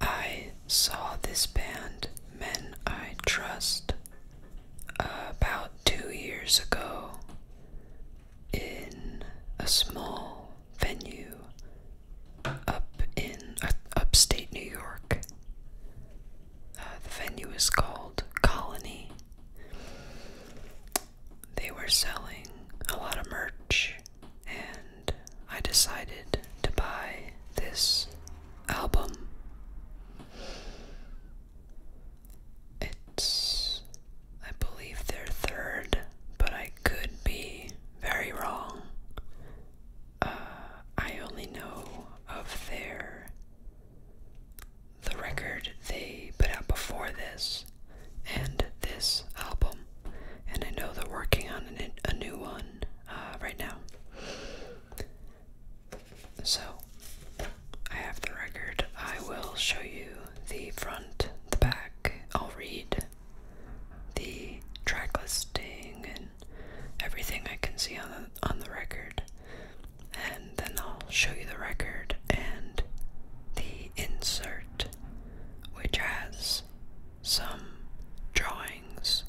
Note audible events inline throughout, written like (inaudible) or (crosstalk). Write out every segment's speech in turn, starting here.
I saw this band, Men I Trust, about two years ago in a small venue up in uh, upstate New York. Uh, the venue is called Colony. They were selling a lot of merch and I decided to buy this album. It's, I believe, their third, but I could be very wrong. Uh, I only know of their. The record they put out before this, and this album, and I know they're working on a new one uh, right now. So I have the record. I will show you the front, the back. I'll read the track listing and everything I can see on on the record, and then I'll show you the record and the insert, which has some drawings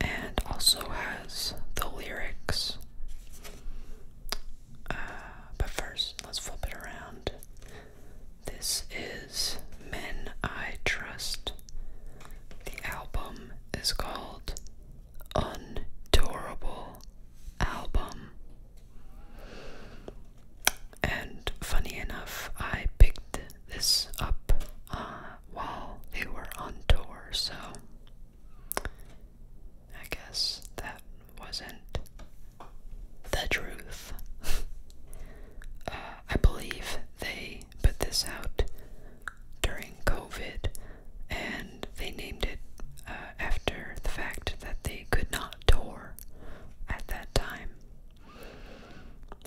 and also has the lyrics. Uh, but first, let's flip it around. This is Men I Trust. The album is called Untourable Album and funny enough, I picked this up uh, while they were on tour, so I guess that wasn't the truth. (laughs) Uh, I believe they put this out during COVID and they named it uh, after the fact that they could not tour at that time.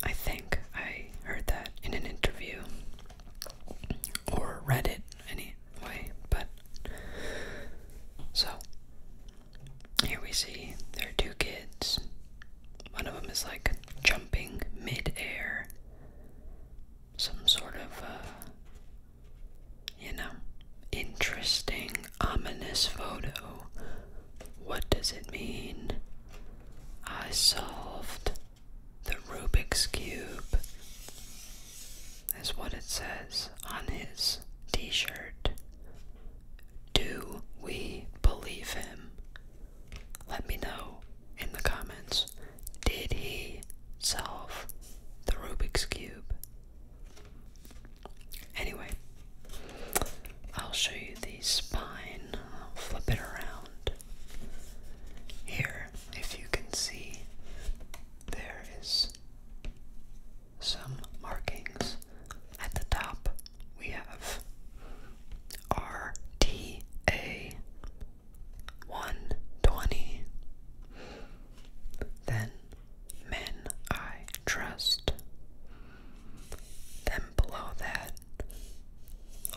I think I heard that in an interview or read it anyway, but so here we see there are two kids. One of them is like jumping midair, some sort of, uh, you know, Interesting, ominous photo. What does it mean? I solved the Rubik's Cube, is what it says on his t shirt. Do we believe him? Let me know in the comments. Did he solve the Rubik's Cube? Anyway, I'll show you the spine. I'll flip it around. Here, if you can see, there is some markings. At the top, we have RTA 120. Then men I trust. Then below that,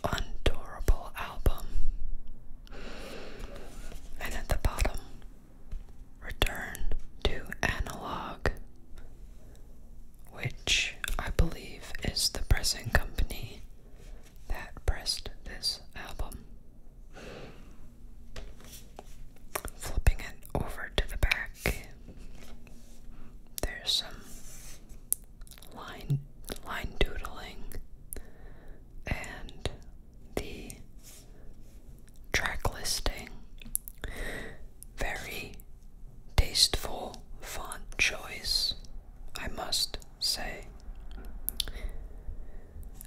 Undurable Album. And at the bottom, Return to Analog, which I believe is the pressing company that pressed this album flipping it over to the back. There's some line line doodling and the track listing. Very tasteful font choice, I must say.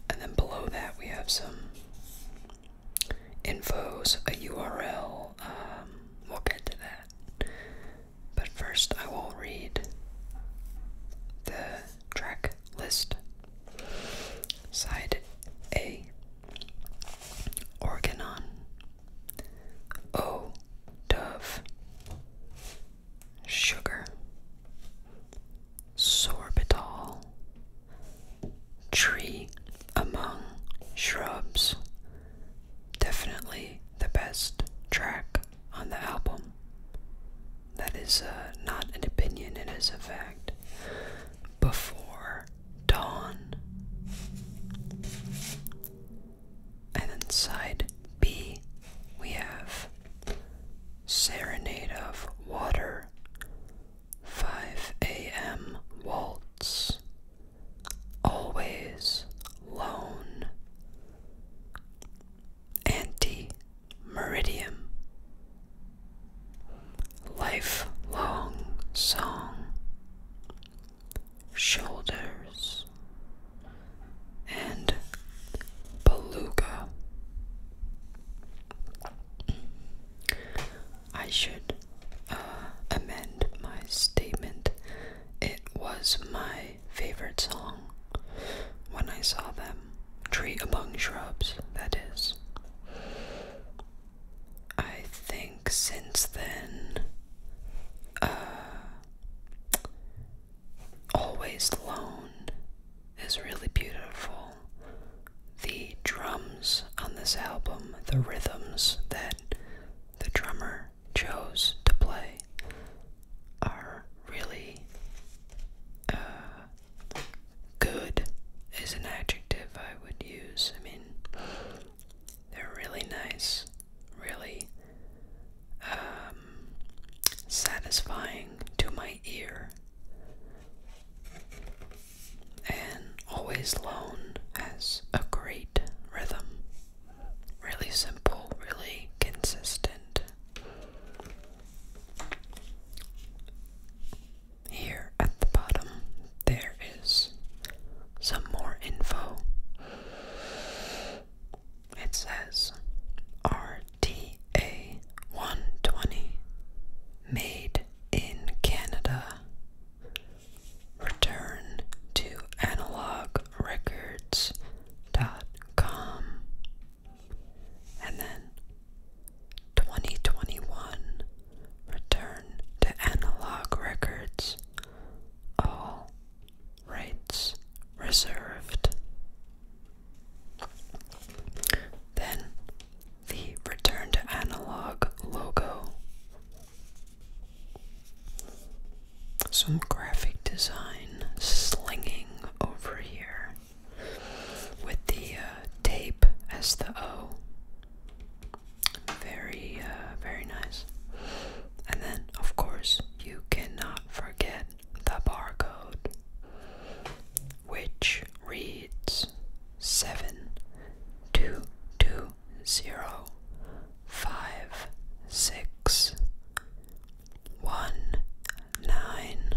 And then below that we have some infos, a URL. Um, we'll get to that. But first, I will read the track list. Side A Organon, O Dove, Sugar, sorbitol, tree among shrubs. Definitely the best track on the album. That is uh, not an opinion, it is a fact. Before Dawn. And inside side B, we have Serenade of Water 5 a.m. waltz. Always lone. Anti meridium. Lifelong song. Shoulders. And beluga. I should uh, amend my statement. It was my favorite song when I saw them. Tree among shrubs, that is. I think since then, uh, Always alone is really beautiful. The drums on this album, the rhythms that the drummer chose to play, are really uh, good, is an adjective I would use. I mean, they're really nice, really um, satisfying to my ear. And Always Lone has a great rhythm. Really simple, really consistent. Here at the bottom, there is some more info. It says, Our TA 120 made in Canada. Return to analogrecords.com. And then 2021 Return to Analog All rights reserved. Then the return to analog logo. Some graphic design slinging over here with the uh, tape as the O. Very, uh, very nice. And then, of course, you cannot forget the barcode, which reads seven two two zero five six one nine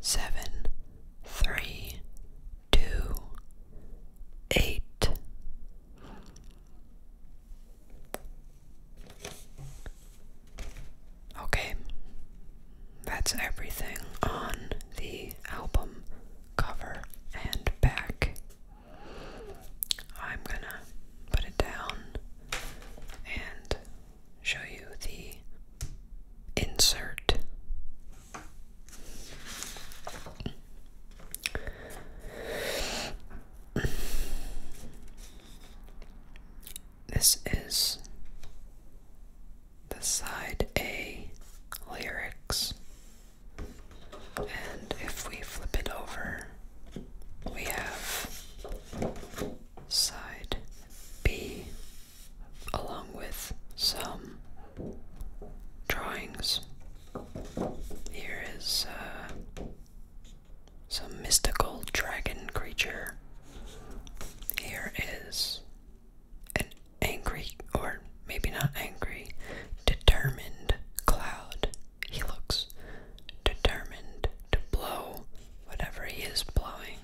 seven three two eight. Okay, that's everything on the album cover and back. I'm gonna put it down and show you the insert. This is the side A lyrics. And if we flip it over, we have side B along with some drawings. Here is uh, some mystical dragon creature. Here is an angry, or maybe not angry, determined cloud. He looks determined to blow whatever he is blowing.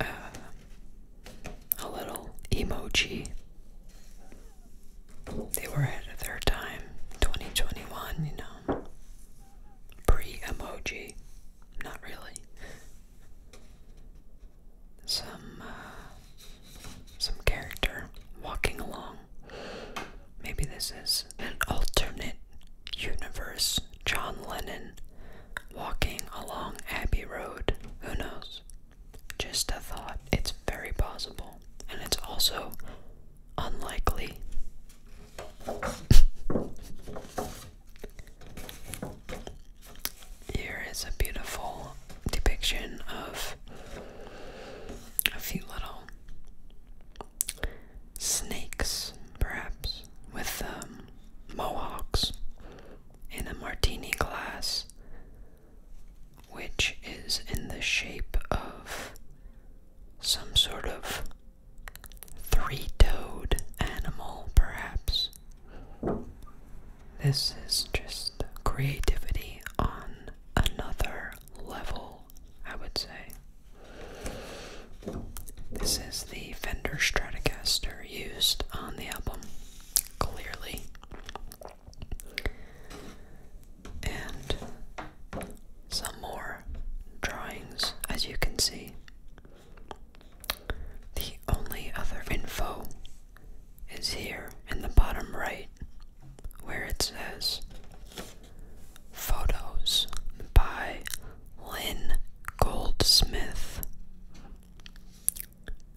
Uh, a little emoji they were ahead of their time. 2021, you know. Pre emoji. Not really. Some, uh, some character walking along. Maybe this is an alternate universe. John Lennon walking along Abbey Road. Who knows? Just a thought. It's very possible. And it's also unlikely. Here is a beautiful depiction of a few little snakes, perhaps, with um, mohawks in a martini glass which is in the shape of some sort of three toed animal, perhaps. This is just creativity on another level, I would say. This is the Fender Stratocaster used on the album, clearly and some more drawings, as you can see. The only other info is here in the bottom right, where it says Photos by Lynn Goldsmith,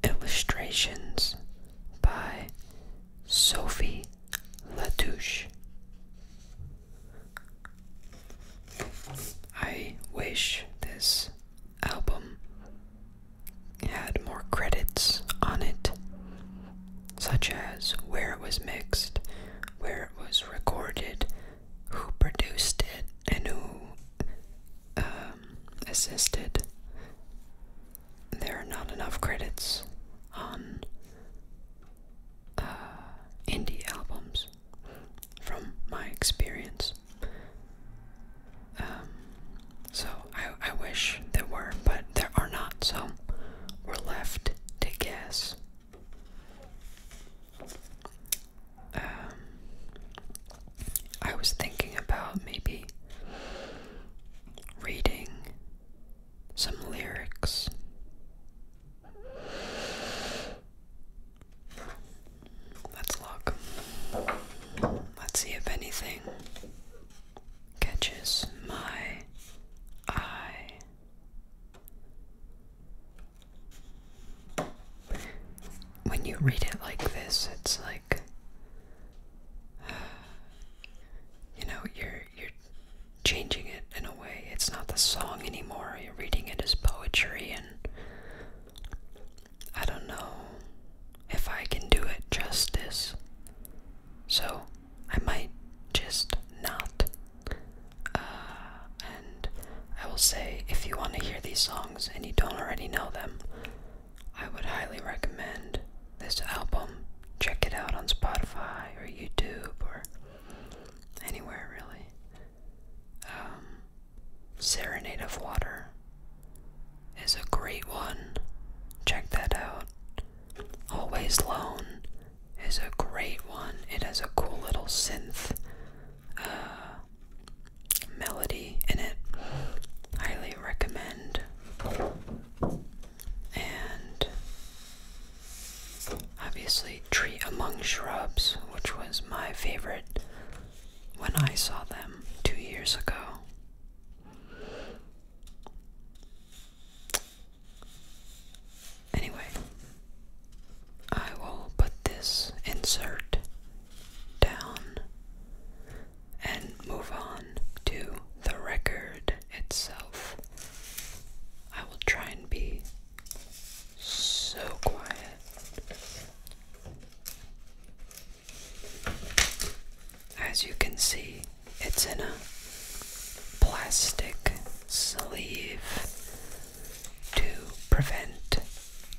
Illustrations by Sophie La Latouche. I wish this album had more credits on it, such as where it was mixed, where it was recorded, who produced it, and who um, assisted there are not enough credits on uh, indie albums from my experience. Um, so I, I wish there were, but there are not, so we're left to guess. Um, I was thinking about maybe reading some lyrics. Let's look. Let's see if anything catches my eye. When you read it like this, it's like (sighs) you know, you're you're changing it in a way. It's not the song anymore. You're reading it as poetry and I don't know if I can do it justice. So I might just not. Uh, and I will say, if you want to hear these songs and you don't already know them, I would highly recommend this album. Check it out on Spotify or YouTube or anywhere really. Um, Serenade of Water is a great one. Check that out. Always Lone is a great one. It has a cool little synth uh, melody in it. Highly recommend and obviously Tree Among Shrubs, which was my favorite when I saw them two years ago. Anyway, I will put this insert down and move on to the record itself. I will try and be so quiet. As you can see, it's in a plastic sleeve to prevent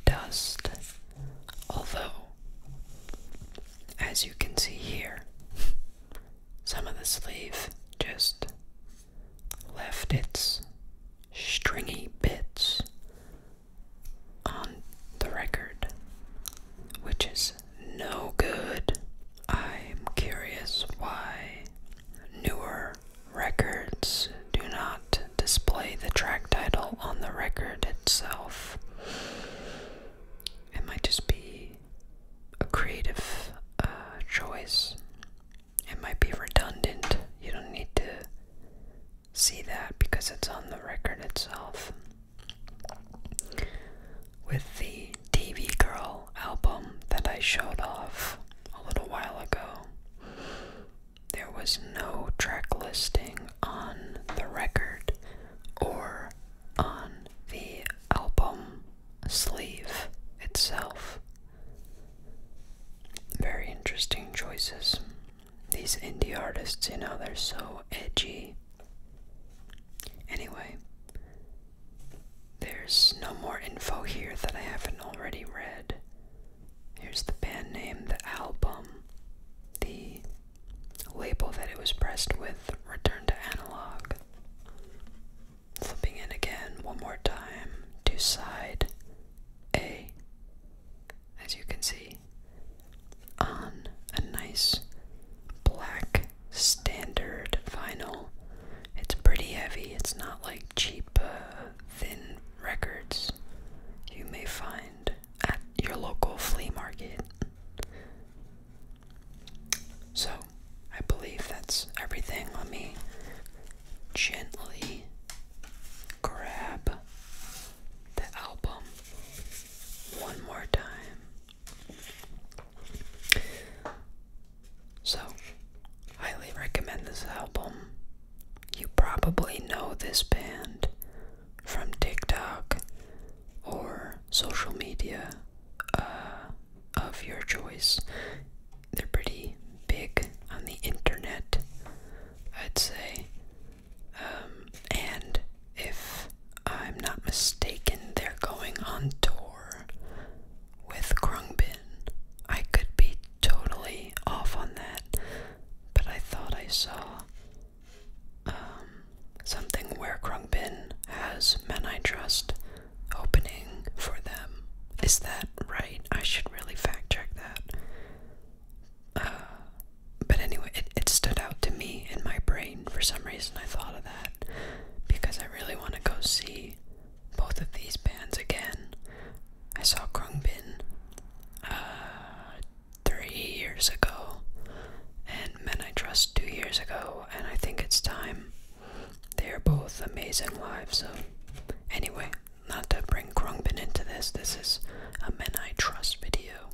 dust. Although as you can see here, some of the sleeve just left its stringy bits on the record, which is no good. I'm curious why newer records do not display the track title on the record itself it might just be a creative uh, choice. It might be redundant. You don't need to see that because it's on the record itself. With the TV Girl album that I showed off a little while ago, there was no track listing on the record or on the album sleeve itself. Very interesting choices. These indie artists, you know, they're so edgy. Anyway, there's no more info here that I haven't already read. Here's the band name, the album, the label that it was pressed with, return to analog. Flipping in again one more time to side A, as you can see, on a nice black standard vinyl. It's pretty heavy, it's not like cheap, uh, thin records you may find at your local flea market. So, I believe that's everything. Let me gently grab the album one more time. So, highly recommend this album. You probably know this band from TikTok or social media uh, of your choice. They're pretty big on the internet, I'd say. Um, and if I'm not mistaken, they're going on tour with Krungbin. I could be totally off on that, but I thought I saw um, something where Krungbin has men I trust opening for them. Is that right? I should really fact check that. Uh, but anyway, it, stood out to me in my brain. For some reason, I thought of that because I really want to go see both of these bands again. I saw Krungbin uh, three years ago, and Men I Trust two years ago, and I think it's time. They are both amazing lives. So, anyway, not to bring Krungbin into this, this is a Men I Trust video.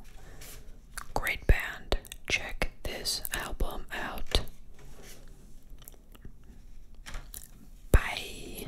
Great band. Check this album out. Bye.